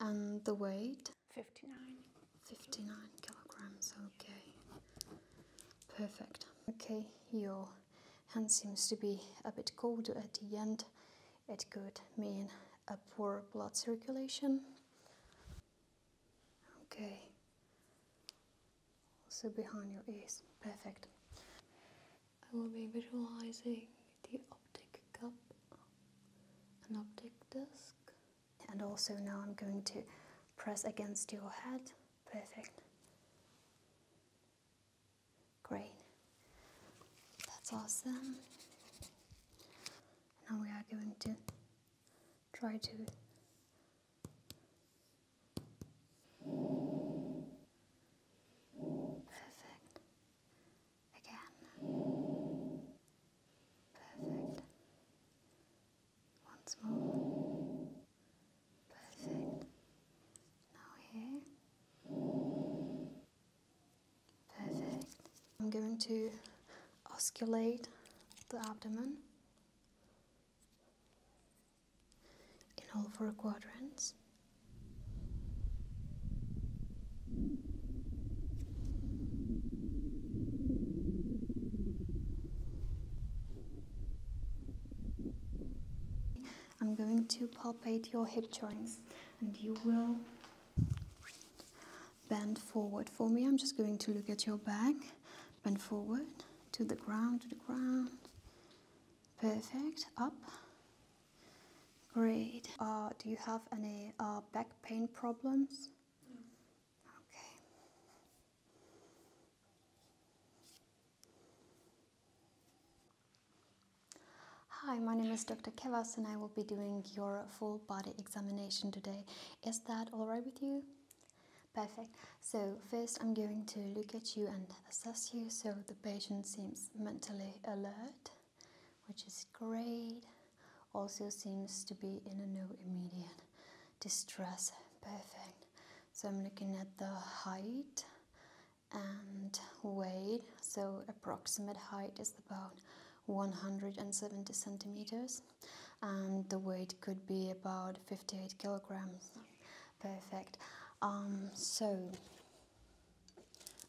And the weight? 59. 59 kilograms, okay. Perfect. Okay, your hand seems to be a bit cold at the end. It could mean a poor blood circulation. Okay also behind your ears. Perfect. I will be visualizing the optic cup, an optic disc. And also now I'm going to press against your head. Perfect. Great. That's awesome. Now we are going to try to Perfect. Again. Perfect. Once more. Perfect. Now here. Perfect. I'm going to osculate the abdomen in all four quadrants. I'm going to palpate your hip joints and you will bend forward for me. I'm just going to look at your back, bend forward to the ground, to the ground, Perfect. Up. Great. Uh, do you have any uh, back pain problems? No. Okay. Hi, my name is Dr. Kevas and I will be doing your full body examination today. Is that alright with you? Perfect. So first I'm going to look at you and assess you so the patient seems mentally alert, which is great. Also seems to be in a no immediate distress. Perfect. So I'm looking at the height and weight. So approximate height is about 170 centimeters and the weight could be about 58 kilograms perfect um, so I'm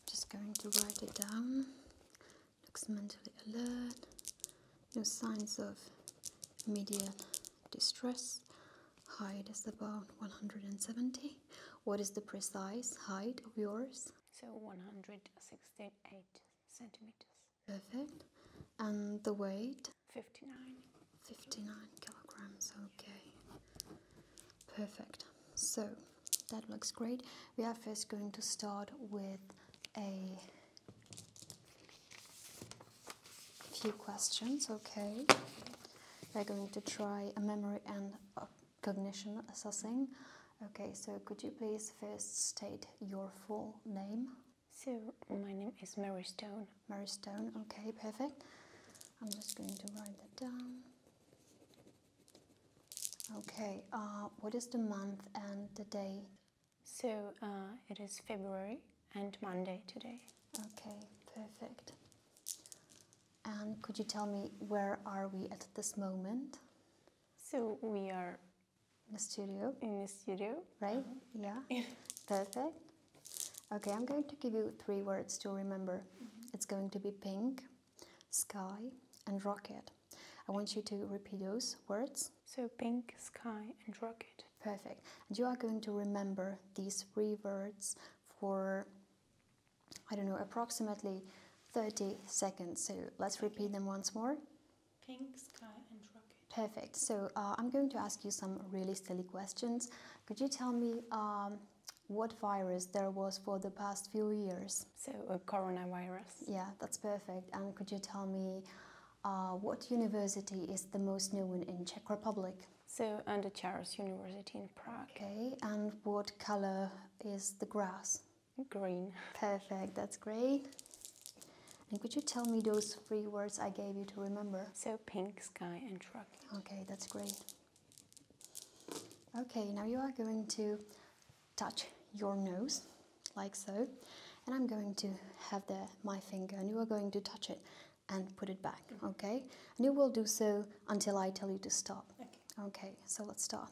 just going to write it down looks mentally alert no signs of immediate distress height is about 170 what is the precise height of yours so 168 centimeters perfect and the weight 59. kilograms, okay. Perfect. So that looks great. We are first going to start with a few questions, okay. We're going to try a memory and cognition assessing. Okay, so could you please first state your full name? So, my name is Mary Stone. Mary Stone, okay, perfect. I'm just going to write that down. Okay, uh, what is the month and the day? So uh, it is February and Monday today. Okay, perfect. And could you tell me where are we at this moment? So we are in the studio. In the studio, right? Yeah. Perfect. Okay, I'm going to give you three words to remember. Mm-hmm. It's going to be pink, sky, and rocket. I want you to repeat those words. So, pink, sky, and rocket. Perfect. And you are going to remember these three words for, I don't know, approximately 30 seconds. So, let's repeat them once more. Pink, sky, and rocket. Perfect. So, uh, I'm going to ask you some really silly questions. Could you tell me um, what virus there was for the past few years? So, uh, coronavirus. Yeah, that's perfect. And could you tell me uh, what university is the most known in Czech Republic? So, and under Charles University in Prague. Okay, and what color is the grass? Green. Perfect, that's great. And could you tell me those three words I gave you to remember? So, pink, sky, and truck. Okay, that's great. Okay, now you are going to touch your nose like so, and I'm going to have the, my finger, and you are going to touch it and put it back, mm-hmm. okay? And you will do so until I tell you to stop. okay so let's start.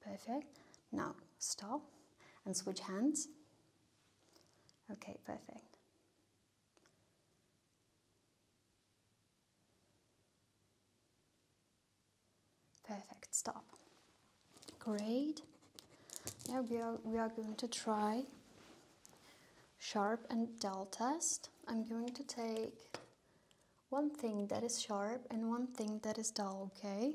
Perfect. Now stop and switch hands. Okay, perfect. Perfect, stop. Great. Now we are, we are going to try sharp and dull test. I'm going to take one thing that is sharp and one thing that is dull, okay?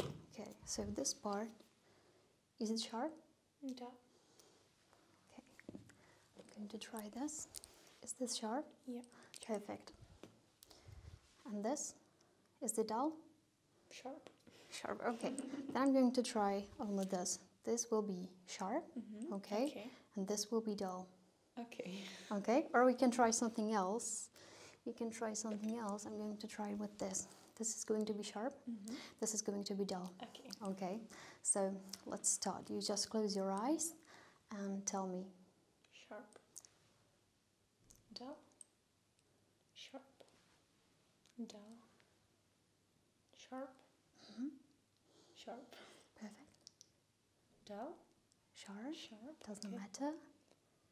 Okay, so this part, is it sharp? Yeah. Okay, I'm going to try this. Is this sharp? Yeah. Perfect. And this, is it dull? Sharp. Sharp, okay. then I'm going to try only this this will be sharp, mm-hmm. okay? And this will be dull. Okay. Okay, or we can try something else. You can try something else. I'm going to try with this. This is going to be sharp. Mm-hmm. This is going to be dull. Okay. Okay, so let's start. You just close your eyes and tell me. Sharp. Dull. Sharp. Dull. Sharp. Mm-hmm. Sharp. Perfect. Dal? Sharp. Sharp. Doesn't matter.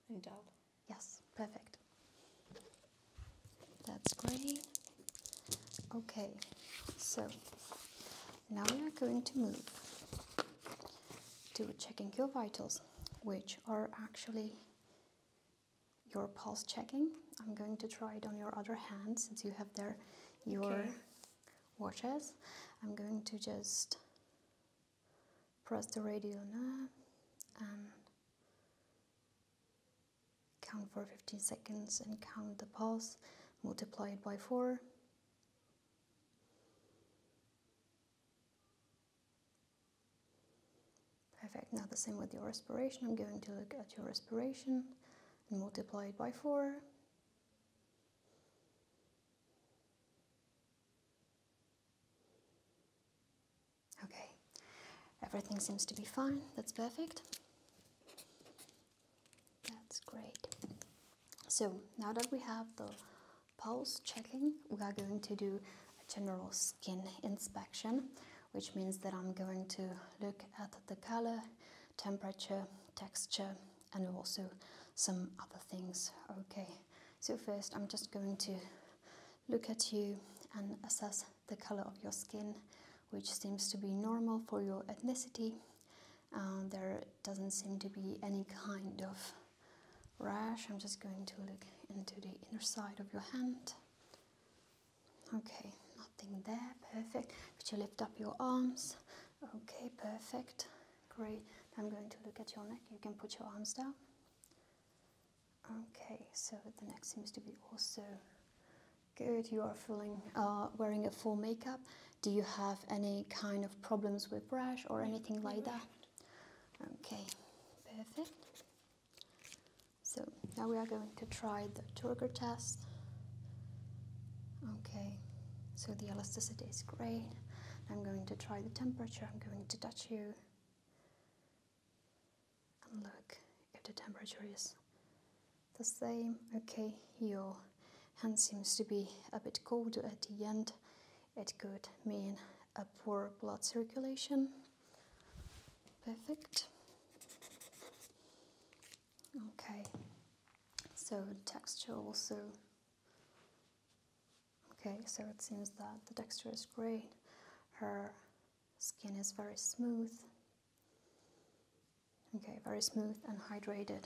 And dal. Yes, perfect. That's great. Okay, so now we are going to move to checking your vitals, which are actually your pulse checking. I'm going to try it on your other hand since you have there your watches. I'm going to just press the radio now and count for 15 seconds and count the pulse, multiply it by 4. Perfect, now the same with your respiration. I'm going to look at your respiration and multiply it by 4. Okay, everything seems to be fine. That's perfect. That's great. So now that we have the pulse checking, we are going to do a general skin inspection, which means that I'm going to look at the color temperature, texture, and also some other things. Okay, so first I'm just going to look at you and assess the color of your skin, which seems to be normal for your ethnicity. Uh, there doesn't seem to be any kind of rash. I'm just going to look into the inner side of your hand. Okay, nothing there, perfect. Could you lift up your arms? Okay, perfect. Great. I'm going to look at your neck. You can put your arms down. Okay, so the neck seems to be also good. You are feeling, uh, wearing a full makeup. Do you have any kind of problems with brush or anything like that? Okay, perfect. So now we are going to try the turgor test. Okay, so the elasticity is great. I'm going to try the temperature. I'm going to touch you. And look if the temperature is the same. Okay, your hand seems to be a bit colder at the end. It could mean a poor blood circulation. Perfect. Okay, so texture also. Okay, so it seems that the texture is great. Her skin is very smooth. Okay, very smooth and hydrated.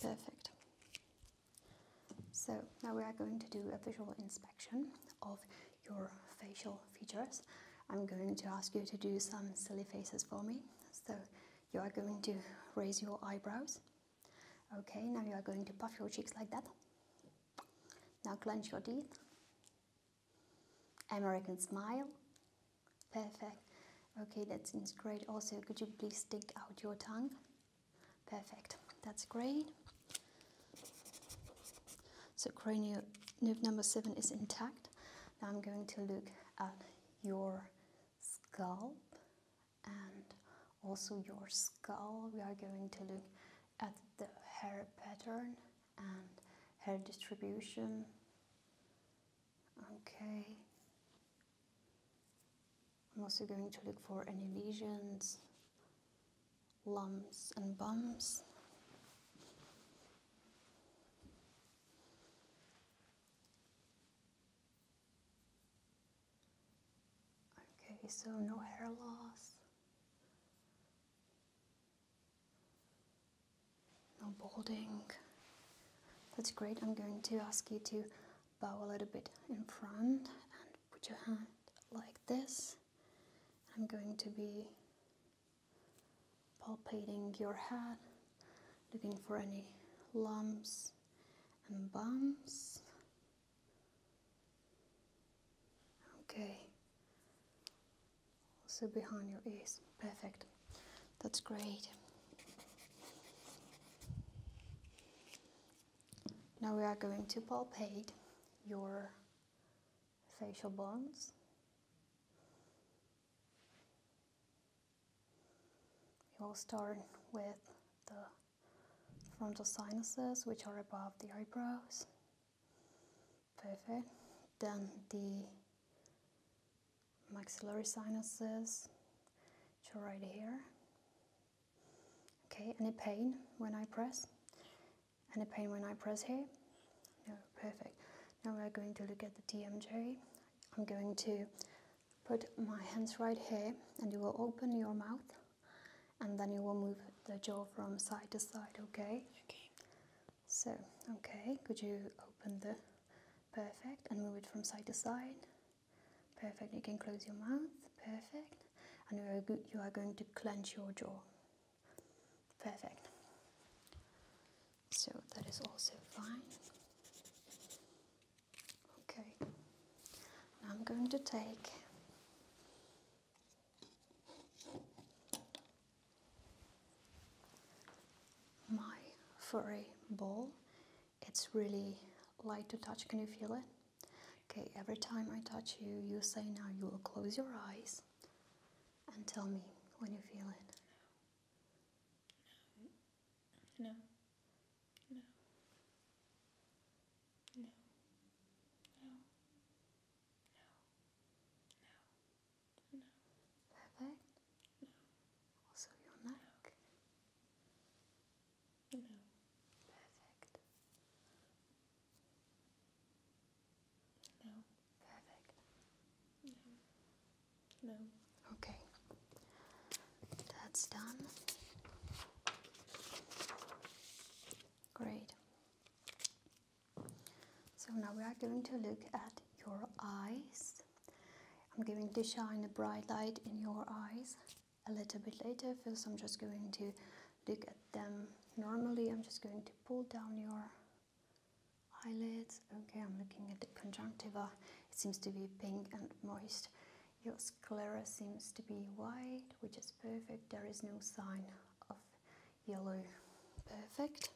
Perfect. So now we are going to do a visual inspection of your facial features. I'm going to ask you to do some silly faces for me. So you are going to raise your eyebrows okay now you are going to puff your cheeks like that now clench your teeth American smile perfect okay that seems great also could you please stick out your tongue perfect that's great so cranial nerve number seven is intact now I'm going to look at your scalp and also your skull. We are going to look at the hair pattern and hair distribution. Okay. I'm also going to look for any lesions, lumps and bumps. Okay, so no hair loss, no balding. That's great. I'm going to ask you to bow a little bit in front and put your hand like this. I'm going to be palpating your head, looking for any lumps and bumps. Okay. Also behind your ears. Perfect. That's great. Now we are going to palpate your facial bones. We will start with the frontal sinuses, which are above the eyebrows. Perfect. Then the maxillary sinuses, which are right here. Okay, any pain when I press? Any pain when I press here? No, perfect. Now we're going to look at the TMJ. I'm going to put my hands right here and you will open your mouth and then you will move the jaw from side to side okay okay so okay could you open the perfect and move it from side to side perfect you can close your mouth perfect and you are, you are going to clench your jaw perfect so that is also fine okay I'm going to take my furry ball it's really light to touch can you feel it okay every time I touch you you say now you will close your eyes and tell me when you feel it no. No. No. No. No. No. No. Perfect. No. Also your neck. No. Perfect. No. Perfect. No. No. Okay. That's done. Great. So now we are going to look at your eyes. I'm going to shine a bright light in your eyes a little bit later. First, I'm just going to look at them normally. I'm just going to pull down your eyelids. Okay, I'm looking at the conjunctiva it seems to be pink and moist. Your sclera seems to be white, which is perfect. There is no sign of yellow. Perfect.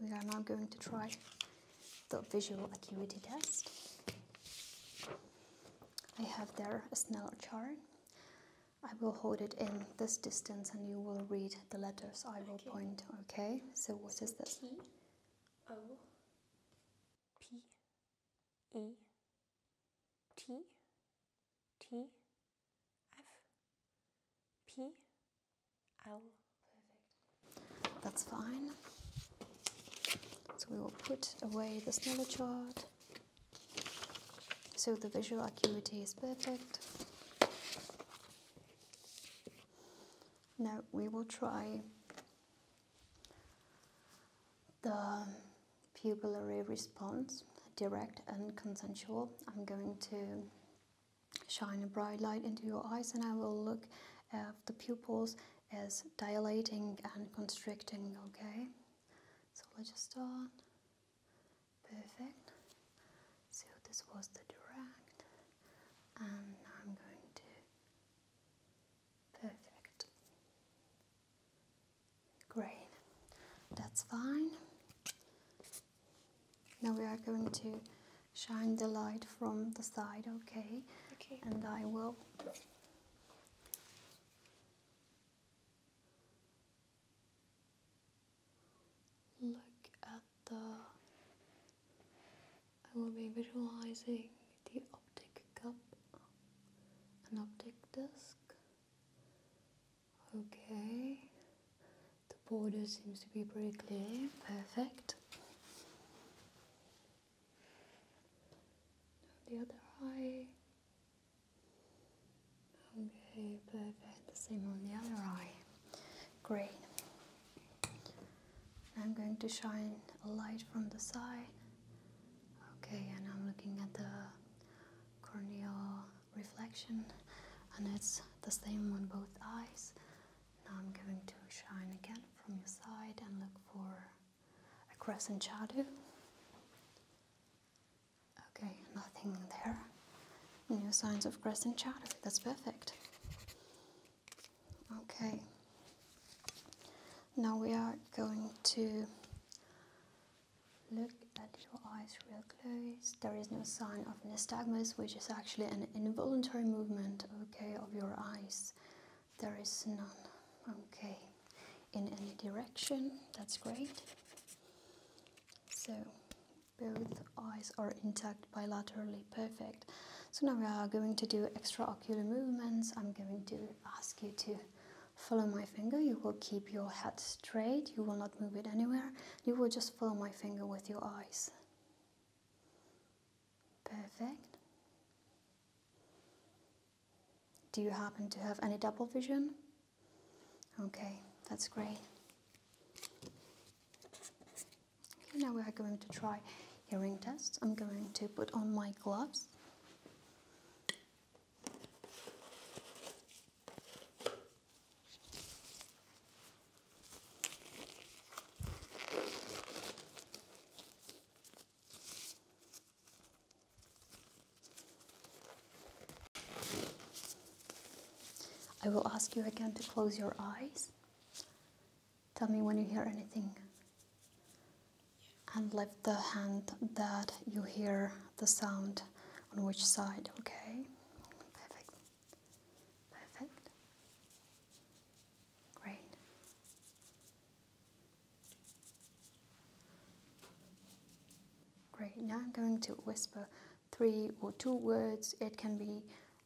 We are now going to try the visual acuity test. I have there a Snell chart. I will hold it in this distance and you will read the letters I will point, okay? So what is this? O P E T T F P L. That's fine. So we will put away the smaller chart. So the visual acuity is perfect. Now we will try the pupillary response, direct and consensual. I'm going to shine a bright light into your eyes and I will look at the pupils as dilating and constricting, okay? So let's just start. Perfect. So this was the direct and I'm going to perfect grey. That's fine. Now we are going to shine the light from the side, okay? Okay. And I will look at the I will be visualizing the optic cup an optic disc. Okay, the border seems to be pretty clear, perfect. The other eye. Okay, perfect. The same on the other eye. Great. I'm going to shine a light from the side. Okay, and I'm looking at the corneal reflection, and it's the same on both eyes. Now I'm going to shine again from your side and look for a crescent shadow. Okay, nothing there. No signs of crescent shadow. That's perfect. Okay, now we are going to look at your eyes real close. There is no sign of nystagmus, which is actually an involuntary movement, okay, of your eyes. There is none, okay, in any direction. That's great. So both eyes are intact bilaterally perfect. So now we are going to do extra ocular movements. I'm going to ask you to follow my finger. You will keep your head straight. You will not move it anywhere. You will just follow my finger with your eyes. Perfect. Do you happen to have any double vision? Okay, that's great now we are going to try hearing tests. I'm going to put on my gloves. I will ask you again to close your eyes Tell me when you hear anything. And lift the hand that you hear the sound on which side, okay? Perfect. Perfect. Great. Great. Now I'm going to whisper three or two words. It can be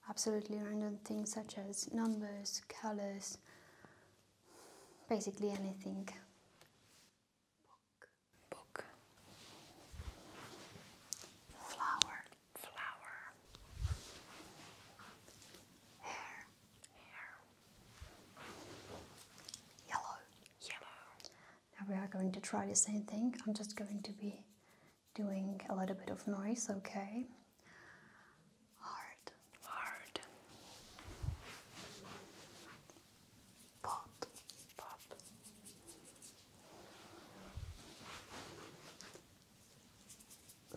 absolutely random things such as numbers, colors, basically anything. Book. Book. Flower. Flower. Hair. Hair. Yellow. Yellow. Now we are going to try the same thing. I'm just going to be doing a little bit of noise, okay? hard, hard, pop, pop,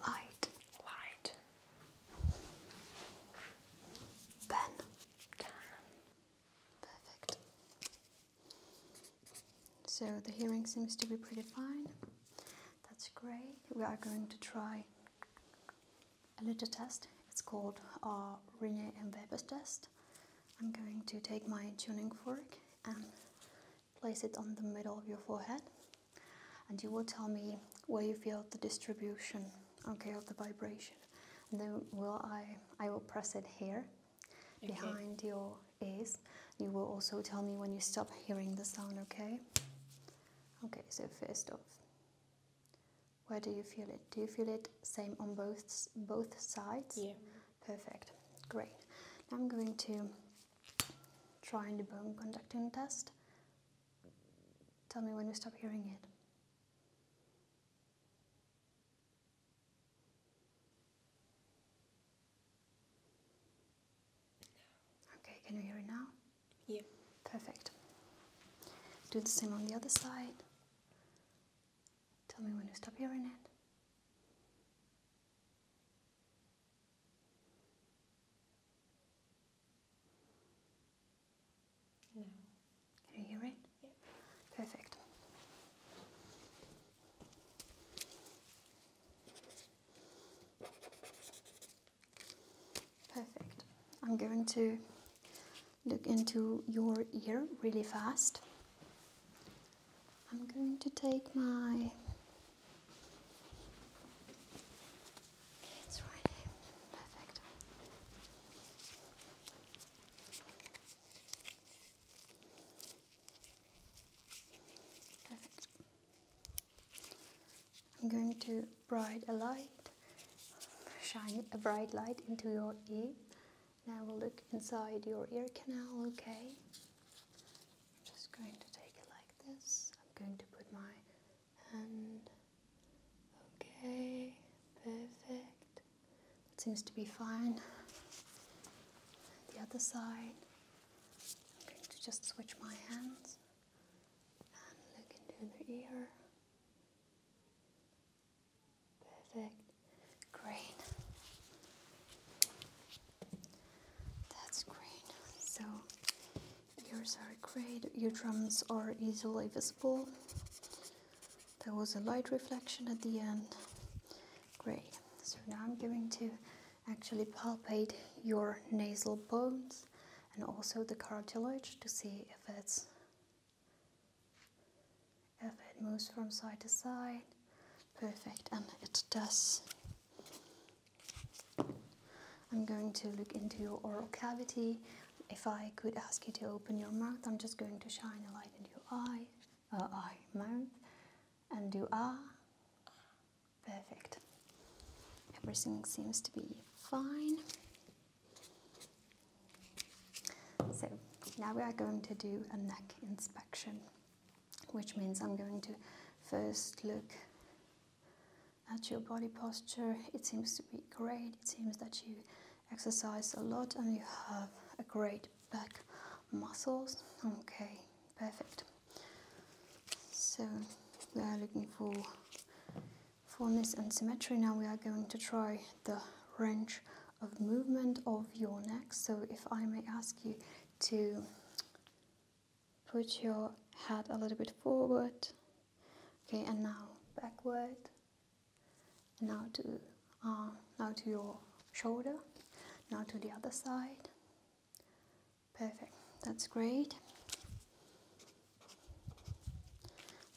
light, light, pen, pen, perfect. So the hearing seems to be pretty fine. That's great. We are going to try a little test. It's called our uh, Rene and Weber's test. I'm going to take my tuning fork and place it on the middle of your forehead and you will tell me where you feel the distribution okay of the vibration then will I I will press it here behind your ears you will also tell me when you stop hearing the sound okay Okay, so first off, where do you feel it? Do you feel it same on both both sides? Yeah. Perfect. Great. Now I'm going to try the bone conducting test. Tell me when you stop hearing it. Okay, can you hear it now? Yeah. Perfect. Do the same on the other side. Tell me when you stop hearing it. No. Can you hear it? Yeah. Perfect. Perfect. I'm going to look into your ear really fast. I'm going to take my I'm going to bright a light, shine a bright light into your ear. Now we'll look inside your ear canal, okay? I'm just going to take it like this. I'm going to put my hand. Okay, perfect. That seems to be fine. The other side. I'm going to just switch my hands and look into the ear. Perfect. Great. That's great. So ears are great. Eardrums are easily visible. There was a light reflection at the end. Great. So now I'm going to actually palpate your nasal bones and also the cartilage to see if it's if it moves from side to side perfect and it does I'm going to look into your oral cavity if I could ask you to open your mouth I'm just going to shine a light in your eye uh, eye mouth and do ah Perfect. Everything seems to be fine. So now we are going to do a neck inspection, which means I'm going to first look at your body posture. It seems to be great. It seems that you exercise a lot and you have a great back muscles. Okay, perfect so we are looking for fullness and symmetry now we are going to try the range of movement of your neck so if I may ask you to put your head a little bit forward okay and now backward now to uh, now to your shoulder now to the other side Perfect, that's great.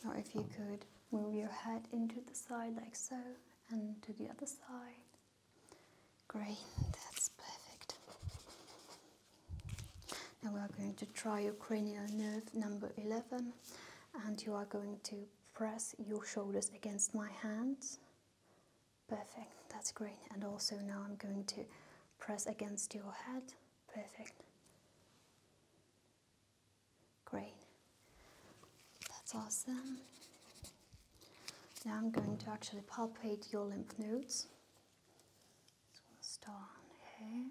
Now if you could move your head into the side like so and to the other side. Great, that's perfect. Now we are going to try your cranial nerve number 11 and you are going to press your shoulders against my hands. Perfect, that's great. And also now I'm going to press against your head. Perfect. Great. That's awesome. Now I'm going to actually palpate your lymph nodes. start here.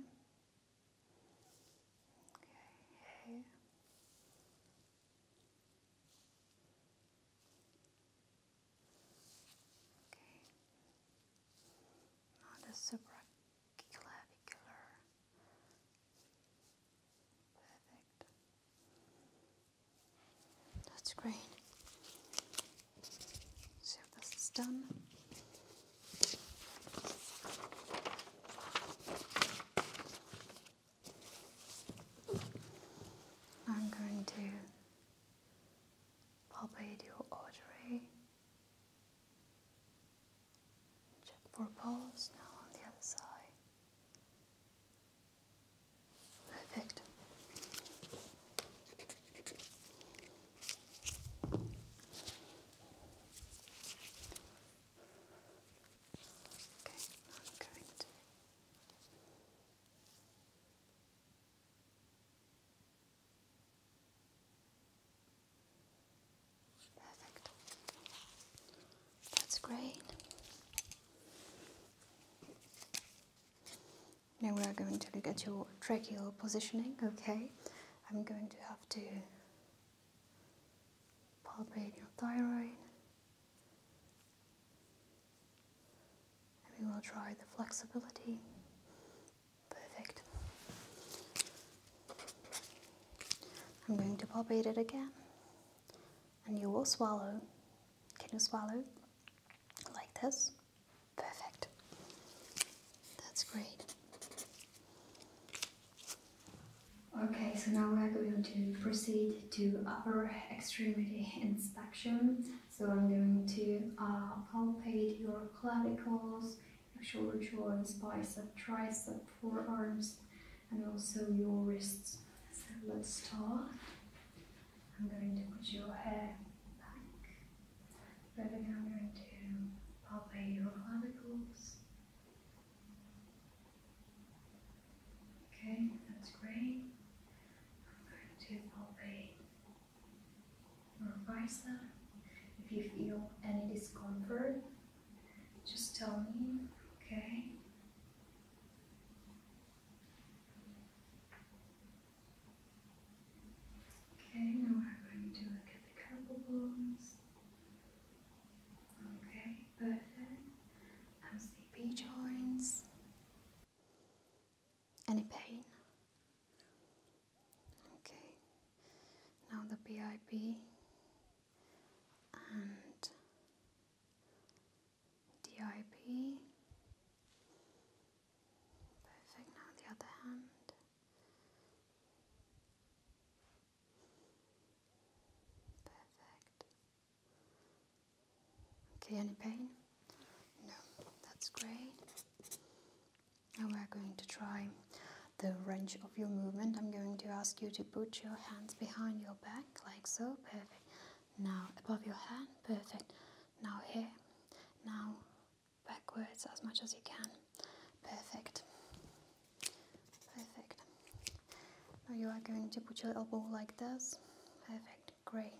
Okay, here. Okay. Now the supraclavicular. Perfect. That's great. So this is done. I'm going to palpate your artery Check for pulse now on the other side. Perfect. Okay, I'm going to Perfect. That's great. Now we are going to look at your tracheal positioning, okay? I'm going to have to palpate your thyroid. And we will try the flexibility Perfect. I'm going to pop it again. And you will swallow. Can you swallow? Like this? Perfect. That's great. Okay, so now we're going to proceed to upper extremity inspection. So I'm going to uh, palpate your clavicles, your shoulder joints, bicep, tricep, forearms, and also your wrists. So let's start. I'm going to put your hair back. But again, I'm going to palpate your clavicles. Okay, that's great. I'm going to palpate or vice If you feel any discomfort, just tell me, okay? Okay, now we're going to look at the carpal bones. Okay, perfect. I'm sleepy joints any pain. Okay, now the BIP and DIP. Perfect, now the other hand. Perfect. Okay, any pain? No, that's great. Now we're going to try the range of your movement. I'm going to ask you to put your hands behind your back like so. Perfect. Now above your hand. Perfect. Now here. Now backwards as much as you can. Perfect. Perfect. Now you are going to put your elbow like this. Perfect. Great.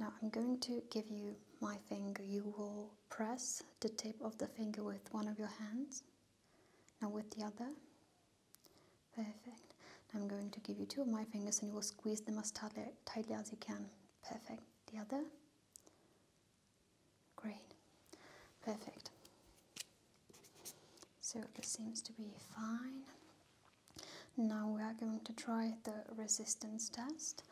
Now I'm going to give you my finger. You will press the tip of the finger with one of your hands. Now with the other. Perfect. I'm going to give you two of my fingers and you will squeeze them as tightly, as you can. Perfect. The other. Great. Perfect. So it seems to be fine. Now we are going to try the resistance test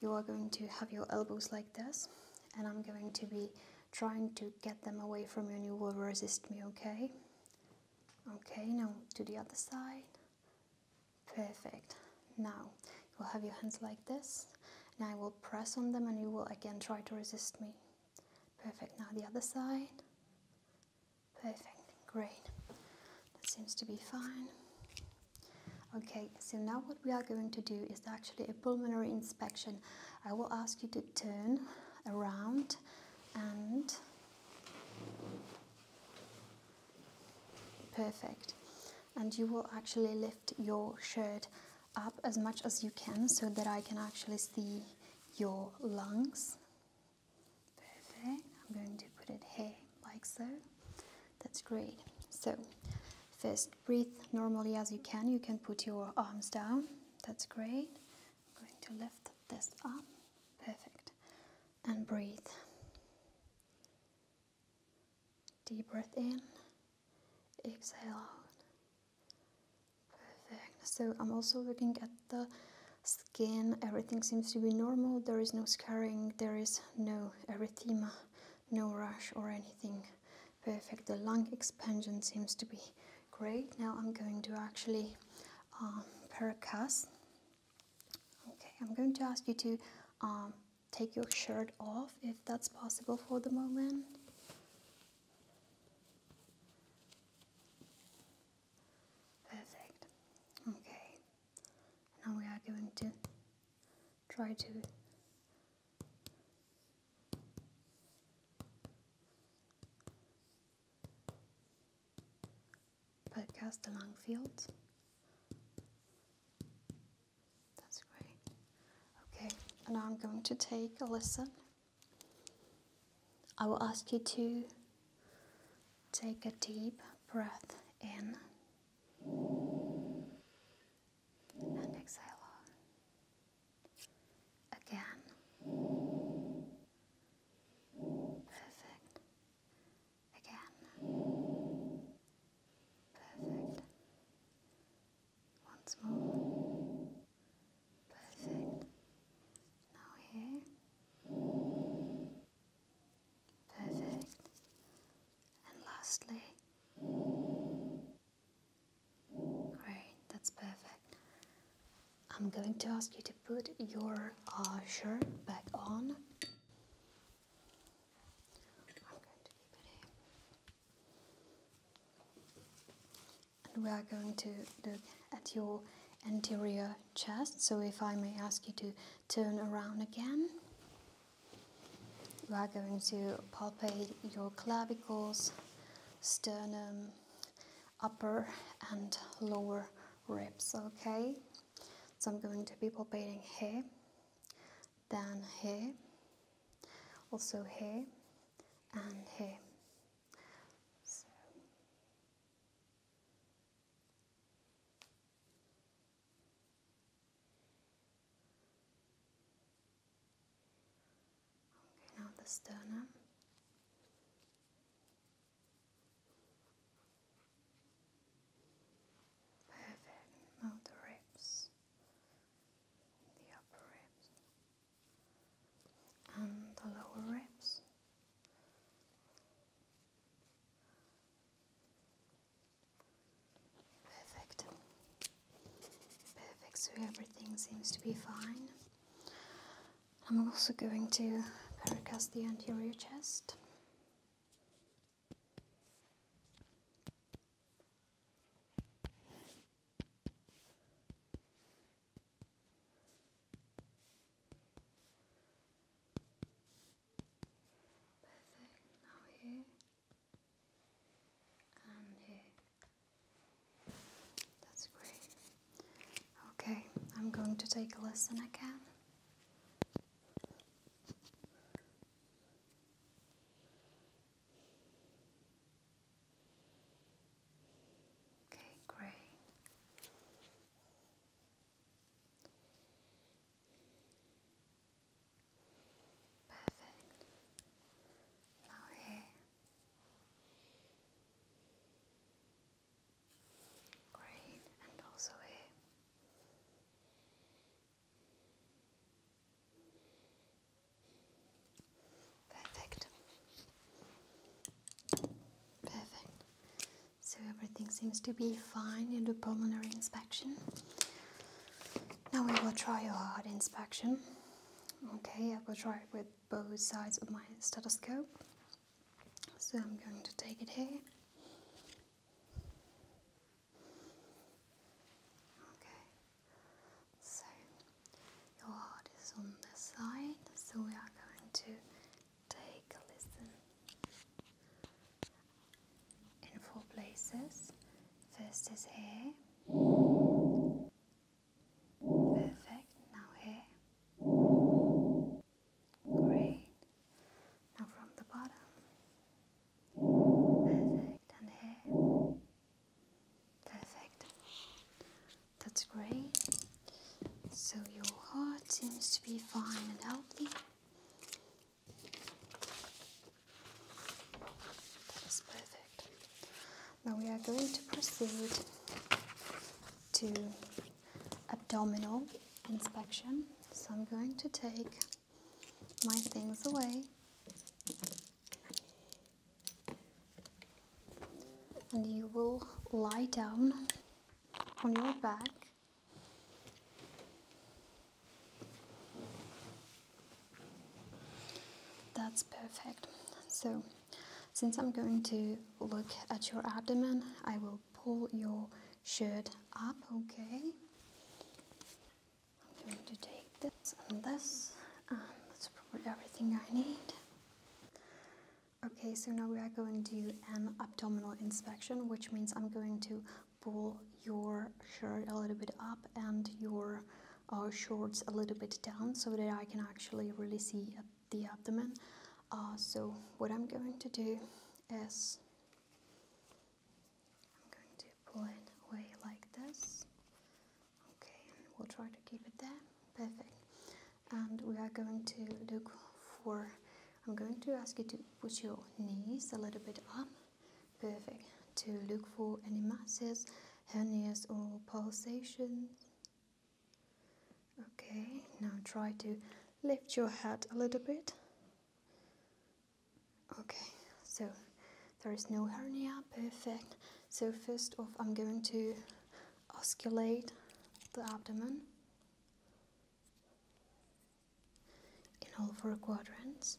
you are going to have your elbows like this and I'm going to be trying to get them away from you and you will resist me, okay? Okay, now to the other side. Perfect. Now you will have your hands like this and I will press on them and you will again try to resist me. Perfect. Now the other side. Perfect. Great. That seems to be fine. Okay, so now what we are going to do is actually a pulmonary inspection. I will ask you to turn around and perfect. And you will actually lift your shirt up as much as you can so that I can actually see your lungs. Perfect. I'm going to put it here like so. That's great. So, first breathe normally as you can. You can put your arms down. That's great. I'm going to lift this up. Perfect. And breathe. Deep breath in. Exhale out. Perfect. So, I'm also looking at the skin. Everything seems to be normal. There is no scarring. There is no erythema no rush or anything. Perfect. The lung expansion seems to be great. Now I'm going to actually um, percuss. Okay, I'm going to ask you to um, take your shirt off if that's possible for the moment. Perfect. Okay. Now we are going to try to podcast along fields. That's great. Okay, and I'm going to take a listen. I will ask you to take a deep breath in and exhale Again. Perfect. Again. Perfect. Once more. Perfect. Now here. Perfect. And lastly, great, that's perfect. I'm going to ask you to put your uh, shirt back on. And we are going to look at your anterior chest. So if I may ask you to turn around again. You are going to palpate your clavicles, sternum, upper and lower ribs, okay? So I'm going to be palpating here, then here, also here, and here. Okay, now the sternum. Perfect. Now the ribs, the upper ribs, and the lower ribs. Perfect. Perfect, so everything seems to be fine. I'm also going to pericast the anterior chest. Perfect, now here. Um, That's great. Okay, I'm going to take a listen again. Okay, great. Perfect. Now here. Great, and also here. Perfect. Perfect. So everything seems to be fine in the pulmonary inspection. Now we will try your heart inspection. Okay, I will try it with both sides of my stethoscope. So I'm going to take it here. Okay, so your heart is on this side, so we are going to take a listen in four places. First is here. Perfect. Now here. Great. Now from the bottom. Perfect. And here. Perfect. That's great. So your heart seems to be fine and healthy. That is perfect. Now we are going to proceed to abdominal inspection. So I'm going to take my things away. And you will lie down on your back that's perfect. So, since I'm going to look at your abdomen, I will pull your shirt up, okay? I'm going to take this and this, and that's probably everything I need. Okay, so now we are going to do an abdominal inspection, which means I'm going to pull your shirt a little bit up and your our shorts a little bit down so that I can actually really see the abdomen uh, so what I'm going to do is I'm going to pull it away like this okay we'll try to keep it there perfect and we are going to look for I'm going to ask you to put your knees a little bit up Perfect. To look for any masses, hernias, or pulsations. Okay, now try to lift your head a little bit. Okay, so there is no hernia, perfect. So first off, I'm going to osculate the abdomen in all four quadrants.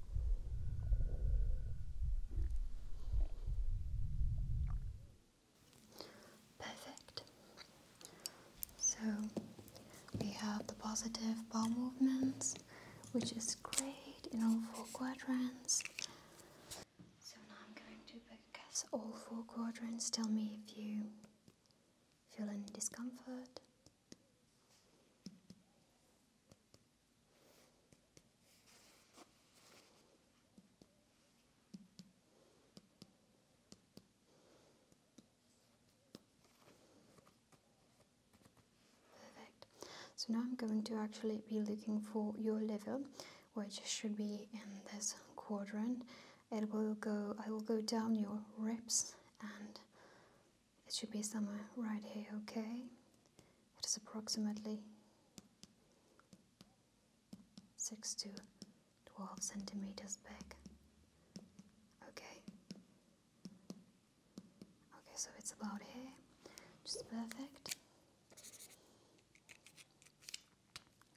Perfect. So we have the positive bowel movements, which is great in all four quadrants. So now I'm going to guess all four quadrants. Tell me if you feel any discomfort. Perfect. So now I'm going to actually be looking for your level, which should be in this quadrant. It will go. I will go down your ribs and it should be somewhere right here, okay? It is approximately 6 to 12 centimeters big. Okay. Okay, so it's about here. Just perfect.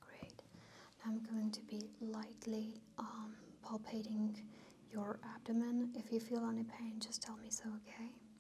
Great. Now I'm going to be lightly um, palpating your abdomen. If you feel any pain, just tell me so, okay?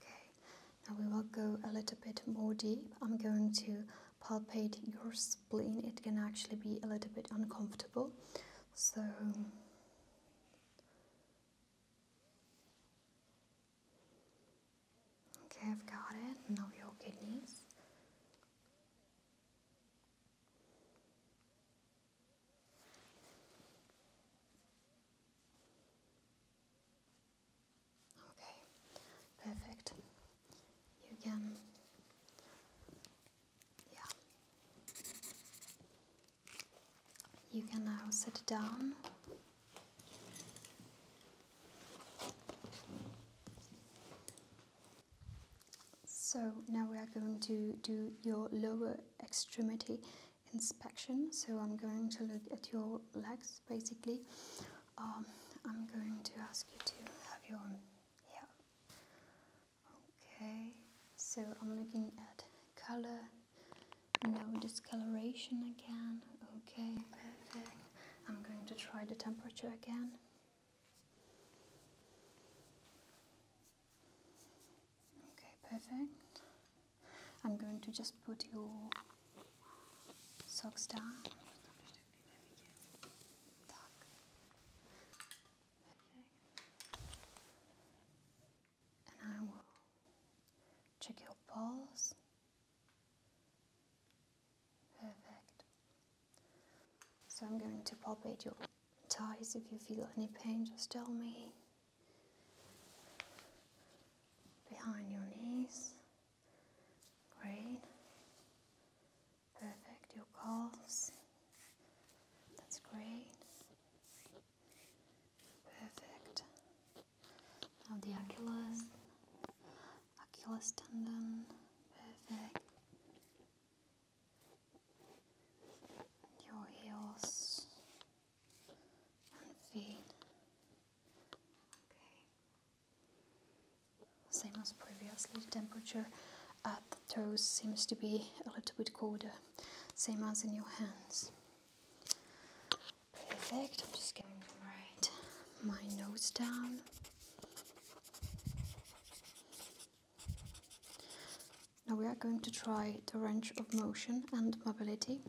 Okay, now we will go a little bit more deep. I'm going to palpate your spleen. It can actually be a little bit uncomfortable. So, okay, I've got it. Now your kidneys. Okay, perfect. You can, yeah, you can now sit down. So now we are going to do your lower extremity inspection. So I'm going to look at your legs basically. Um, I'm going to ask you to have your hair. Okay, so I'm looking at color, no discoloration again. Okay, perfect. I'm going to try the temperature again. Okay, perfect. I'm going to just put your socks down. And I will check your pulse. Perfect. So I'm going to palpate your thighs. If you feel any pain, just tell me. Behind your knees. Great. Perfect. Your calves. That's great. Perfect. Now the Achilles. Achilles tendon. Perfect. Your heels and feet. Okay. Same as previously, the temperature at the toes seems to be a little bit colder, same as in your hands. Perfect, I'm just getting my notes down. Now we are going to try the range of motion and mobility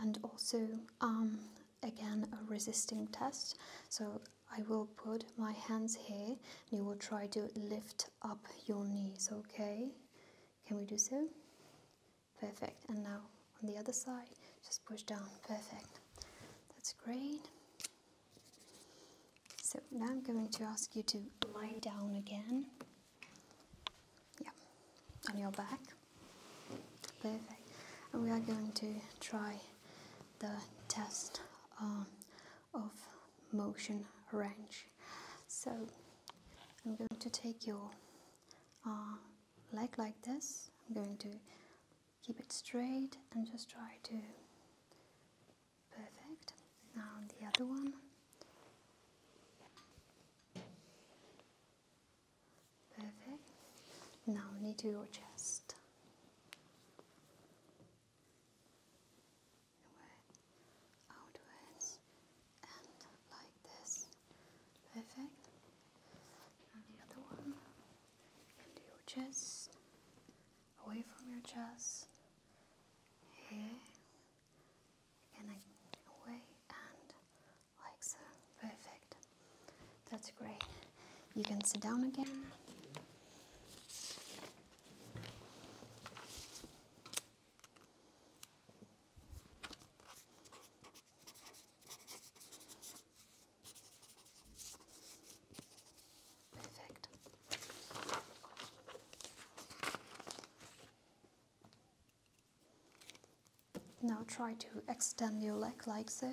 and also um, again a resisting test so I will put my hands here and you will try to lift up your knees okay can we do so perfect and now on the other side just push down perfect that's great so now I'm going to ask you to lie down again yeah, on your back. Perfect. And we are going to try the test um, of motion range. So I'm going to take your uh, leg like this. I'm going to keep it straight and just try to perfect. Now the other one. Perfect. Now knee to your chest. Inward, outwards, and like this. Perfect. And the other one. Into your chest. Away from your chest. Here. Again, away and like so. Perfect. That's great. You can sit down again. Perfect. Now try to extend your leg like so.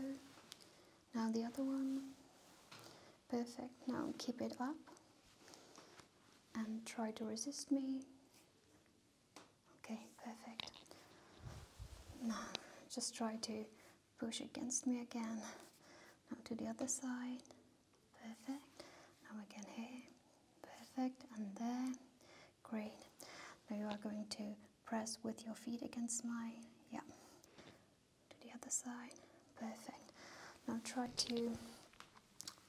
Now the other one. Perfect. Now keep it up and try to resist me. Okay, perfect. Now just try to push against me again. Now to the other side. Perfect. Now again here. Perfect. And there. Great. Now you are going to press with your feet against mine. Yeah. To the other side. Perfect. Now try to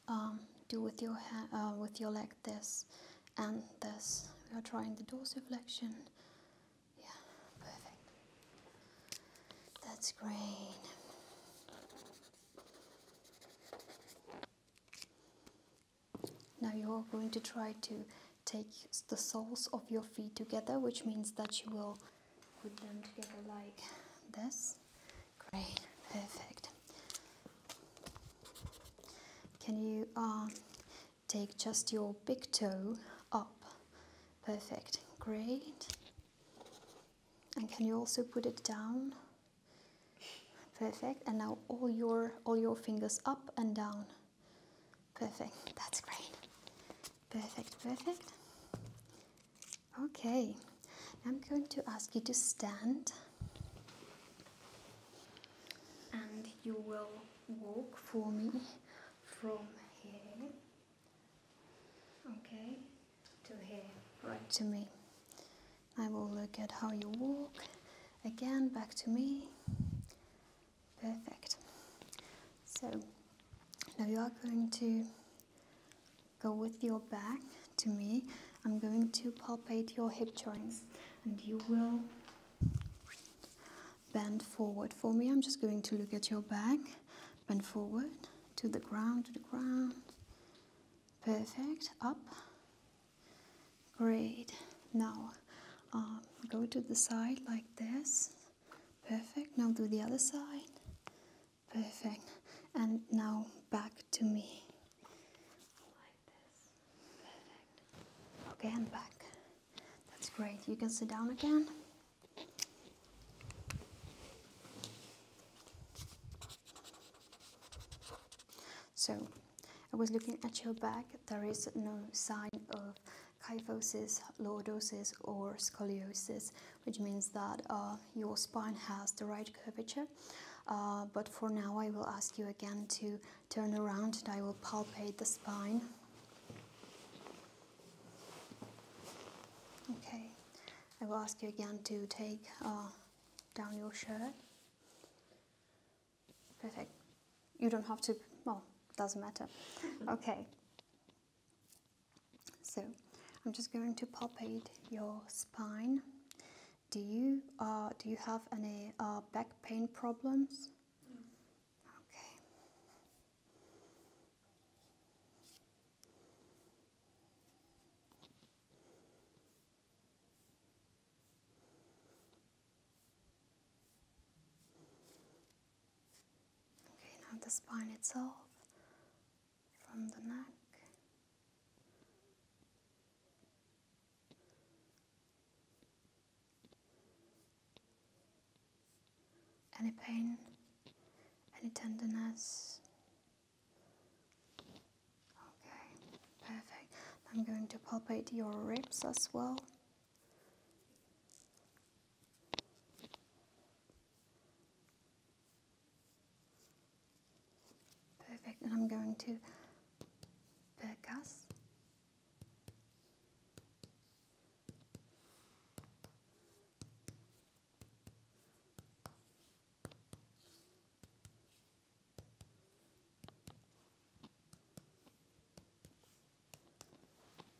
um, do with your hand, uh, with your leg this and this. We are trying the dorsiflexion. Yeah, perfect. That's great. Now you are going to try to take the soles of your feet together, which means that you will put them together like this. Great, perfect. Can you uh, take just your big toe up? Perfect, great. And can you also put it down? Perfect. And now all your all your fingers up and down. Perfect, that's great. Perfect, perfect. Okay, I'm going to ask you to stand and you will walk for me from here, okay, to here, right to me. I will look at how you walk, again back to me, Perfect. So now you are going to go with your back to me. I'm going to palpate your hip joints and you will bend forward for me. I'm just going to look at your back, bend forward to the ground, to the ground. Perfect. Up, Great. Now um, go to the side like this. Perfect. Now do the other side. Perfect. And now back to me. Like this. Perfect. Okay, and back. That's great. You can sit down again. So I was looking at your back. There is no sign of kyphosis, lordosis, or scoliosis, which means that uh, your spine has the right curvature. Uh, but for now, I will ask you again to turn around and I will palpate the spine. Okay, I will ask you again to take uh, down your shirt. Perfect. You don't have to, well, it doesn't matter. okay. So I'm just going to palpate your spine. Do you, uh, do you have any uh, back pain problems? Okay. Okay, now the spine itself from the neck. Any pain, any tenderness. Okay, perfect. I'm going to palpate your ribs as well. Perfect, and I'm going to percuss.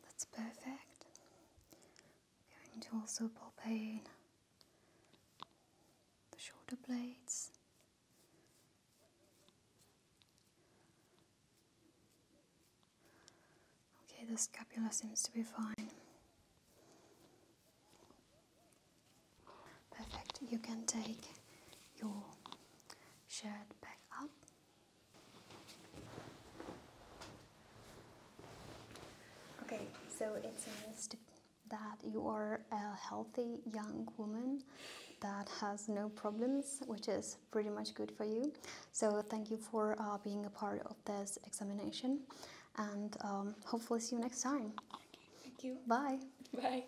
That's perfect. going to also pop the shoulder blades. Okay, the scapula seems to be fine. Perfect, you can take your shirt back up Okay, so it's a myth that you are a healthy young woman that has no problems, which is pretty much good for you. So thank you for uh, being a part of this examination, and um, hopefully see you next time. thank you. Bye. Bye.